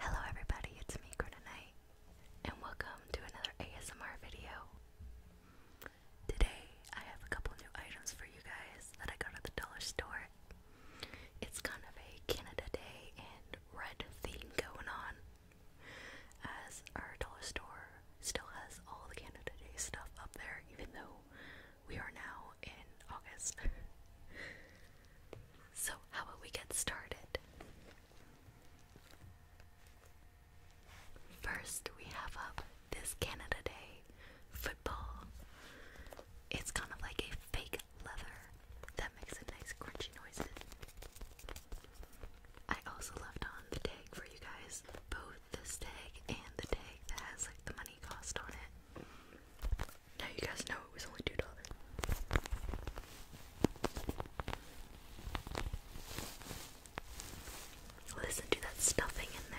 Hello everybody, it's me, Grenonite, and welcome to another ASMR video. Today, I have a couple new items for you guys that I got at the dollar store. It's kind of a Canada Day and red theme going on, as our dollar store still has all the Canada Day stuff up there, even though we are now in August. So, how about we get started? First, we have up this Canada Day football. It's kind of like a fake leather that makes a nice crunchy noises. I also left on the tag for you guys, both this tag and the tag that has like the money cost on it. Now you guys know it was only two dollars. Listen to that stuffing in there.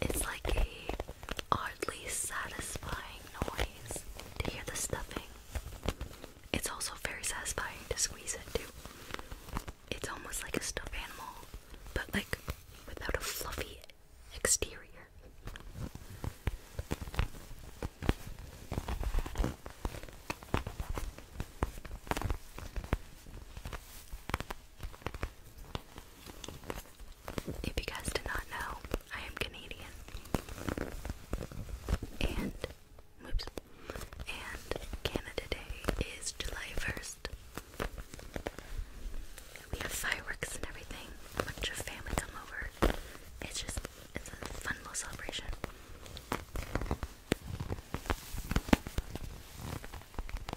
It's like a oddly satisfying noise to hear the stuffing. It's also very satisfying to squeeze it too. It's almost like a stuffed animal, but like without a fluffy exterior. If you guys did not know, I am Canadian. And, whoops, and Canada Day is July 1st. We have fireworks and everything. A bunch of family come over. It's just, it's a fun little celebration.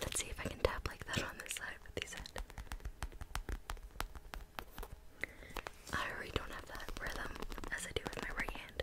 Let's see if I can tap like that on this side with these head. I already don't have that rhythm as I do with my right hand.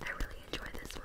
I really enjoy this one.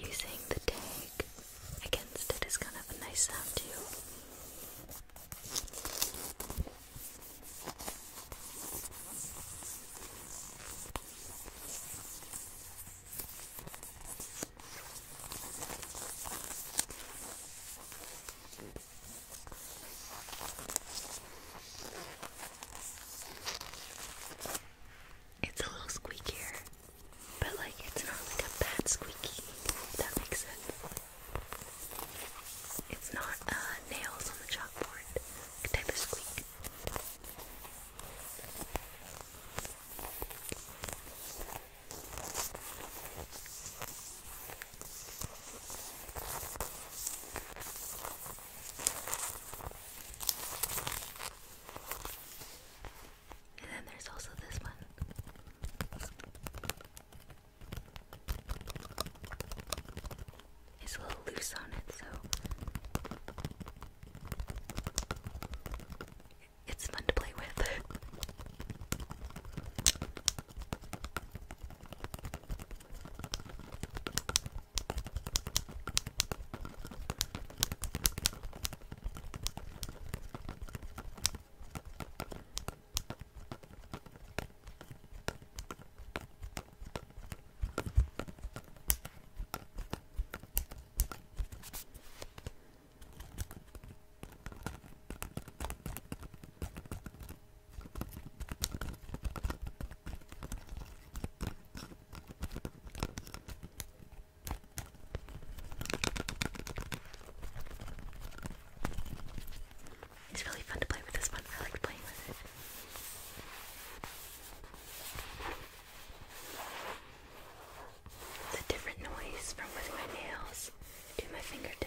Using the tag against it is kind of a nice sound too. It's a little squeakier, but like it's not like a bad squeaky, if that makes sense. It's not uh, nails on the chalkboard type of squeak. And then there's also this one. It's a little loose on it, so it's fun to play with. It's really fun to play with this one. I like playing with it. The different noise from with my nails to my fingertips.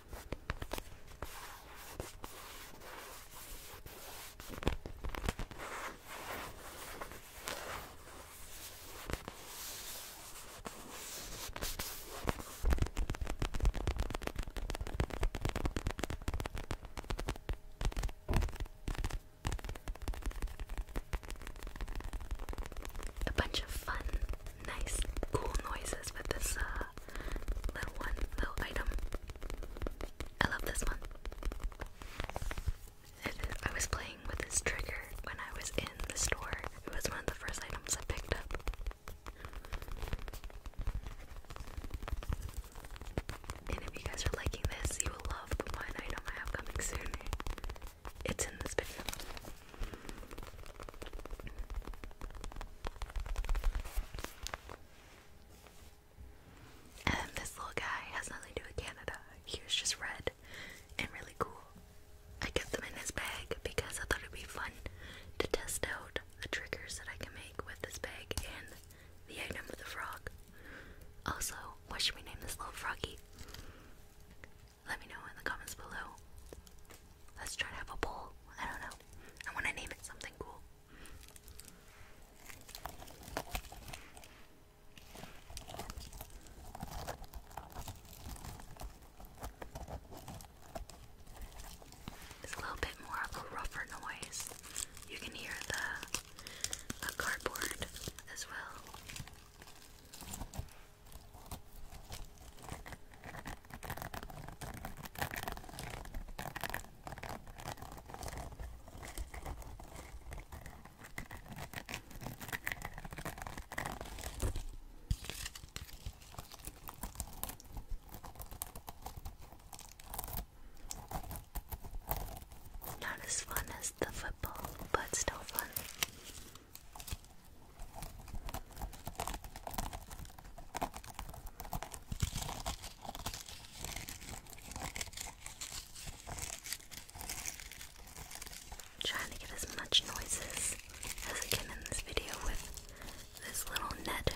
A bunch of fun, nice, cool noises with this uh, little one, little item. I love this one. I was playing with this trigger when I was in the store. It was one of the first items I picked up. And if you guys are liking this, you will love one item I have coming soon. It's in this video. And this little guy has nothing to do with Canada. He was just red and really cool. I kept them in his bag because I thought it'd be fun to test out the triggers that I can make with this bag and the item of the frog. Also, what should we name this little froggy? Let me know in the comments below. Let's try to have a poll. I don't know. I want to name it something cool. It's a little bit more of a rougher noise. You can hear the, cardboard as well. Not as fun as the football, but still fun trying to get as much noises as I can in this video with this little net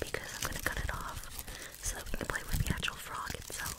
because I'm going to cut it off so that we can play with the actual frog itself.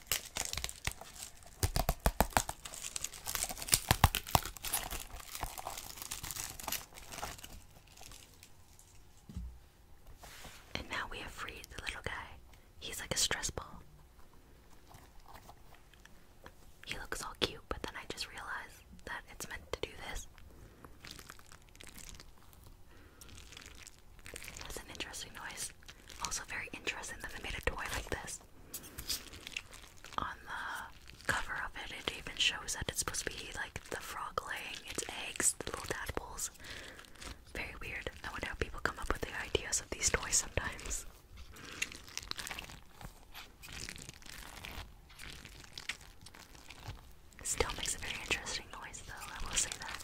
And now we have freed the little guy. He's like a stress ball. He looks all cute, but then I just realized that it's meant to do this. That's an interesting noise. Also, very interesting that they made a toy like this. On the cover of it, it even shows that it's supposed to be like the frog laying its eggs, the little tadpoles. Very weird. I wonder how people come up with the ideas of these toys sometimes. Still makes a very interesting noise, though, I will say that.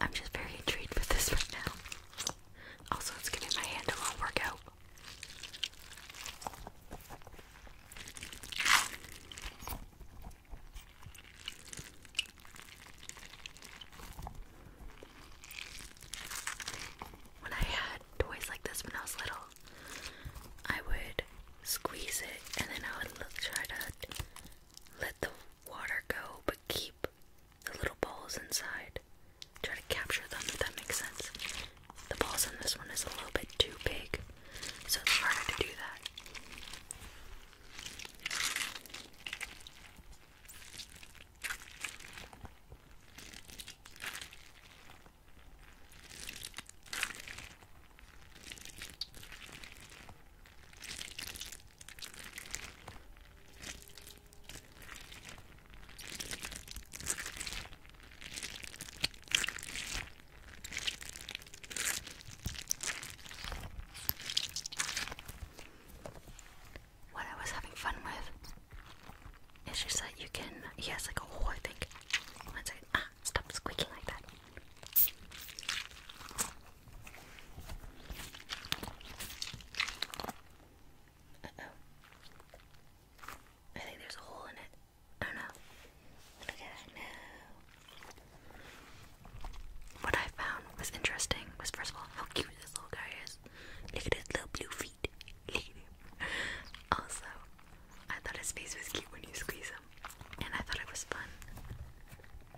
I'm just very intrigued with this right now. Also, it's giving my hand a little workout. When I had toys like this when I was little, I would squeeze it and then I would try to let the water go, but keep the little balls inside. Try to capture them if that makes sense. The balls on this one is a little bit too big, so it's harder to do that. What I was having fun with is just that you can, he has like a hole, I think. One second. Ah, stop squeaking like that. Uh-oh. I think there's a hole in it. Oh, I No. What I found was interesting was first of all how cute this little guy is. Look at his little blue feet. Look at him. Also, I thought his face was cute when you squeeze him. And I thought it was fun.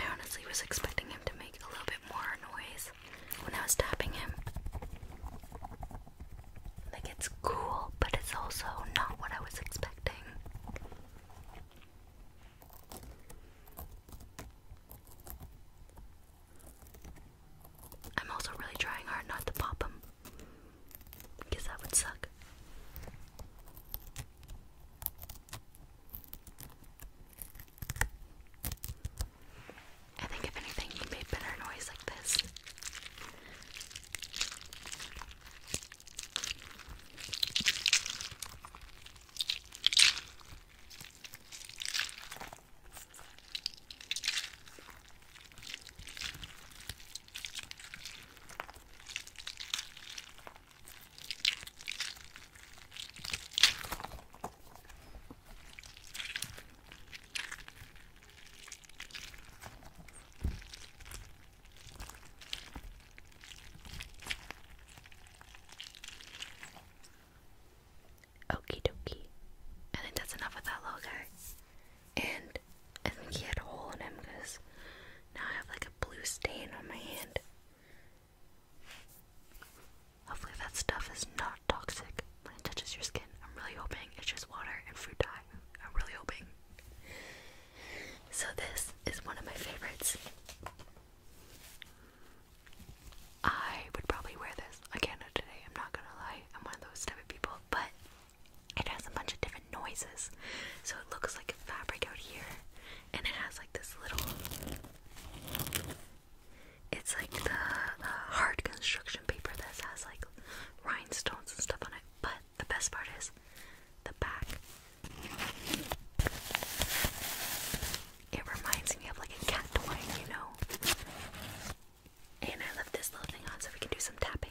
I honestly was expecting him to make a little bit more noise when I was tapping him. Like, it's cool, but it's also not what I was expecting. I'm also really trying hard not to pop him. Because that would suck. I think if anything, you made better noise like this. Okie dokie. I think that's enough of that little guy. And I think he had a hole in him because now I have like a blue stain on my hand. Hopefully that stuff is not toxic when it touches your skin. I'm really hoping it's just water and fruit dye. I'm really hoping. So this is one of my favorites. I would probably wear this I can't do today, I'm not gonna lie. I'm one of those type of people, but it has a bunch of different noises. So it looks like a fabric out here, and it has like this little it's like the hard construction paper that has like rhinestones and stuff on it. But the best part is the back. It reminds me of like a cat toy, you know. And I left this little thing on so we can do some tapping.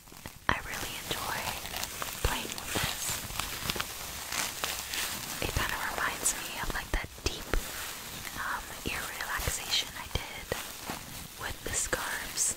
I really enjoy playing with this. It kind of reminds me of like that deep um, ear relaxation I did with the scarves.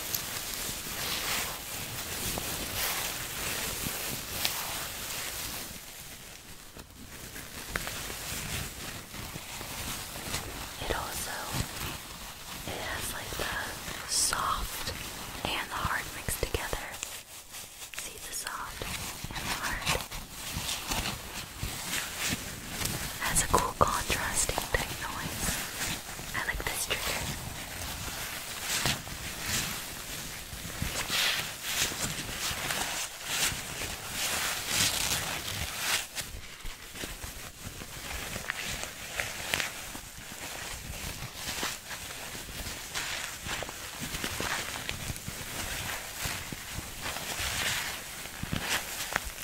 It also it has like the soft and the hard mixed together. See the soft and the hard. Has a cool contrasting noise. I like this trigger.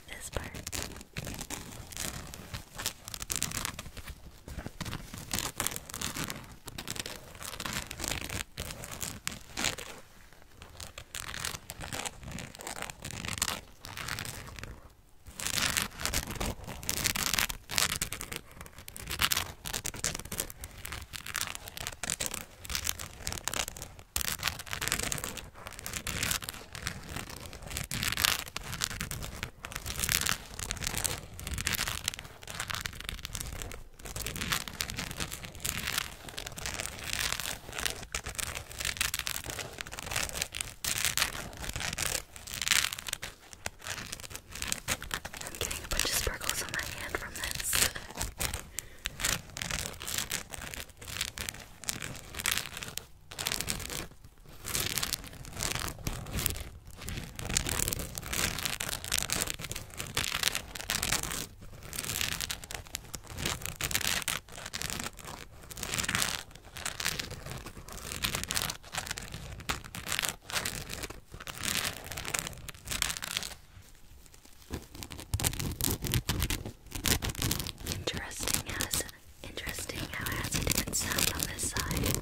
with this part. I'm getting a bunch of sparkles on my hand from this. Interesting as Interesting how it has a different sound on this side.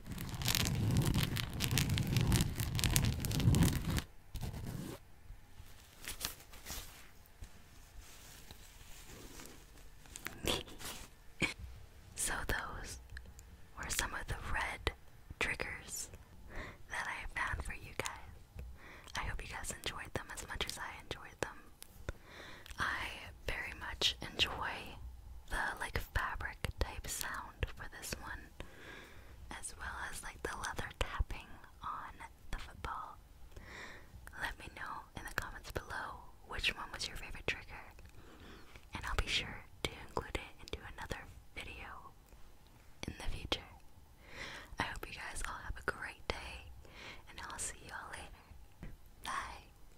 so, those were some of the red triggers that I found for you guys. I hope you guys enjoyed them as much as I enjoyed them. I very much enjoy the like fabric type sound for this one, as well as like the leather tapping on the football. Let me know in the comments below which one was your favorite trigger, and I'll be sure to include it into another video in the future. I hope you guys all have a great day, and I'll see you all later. Bye!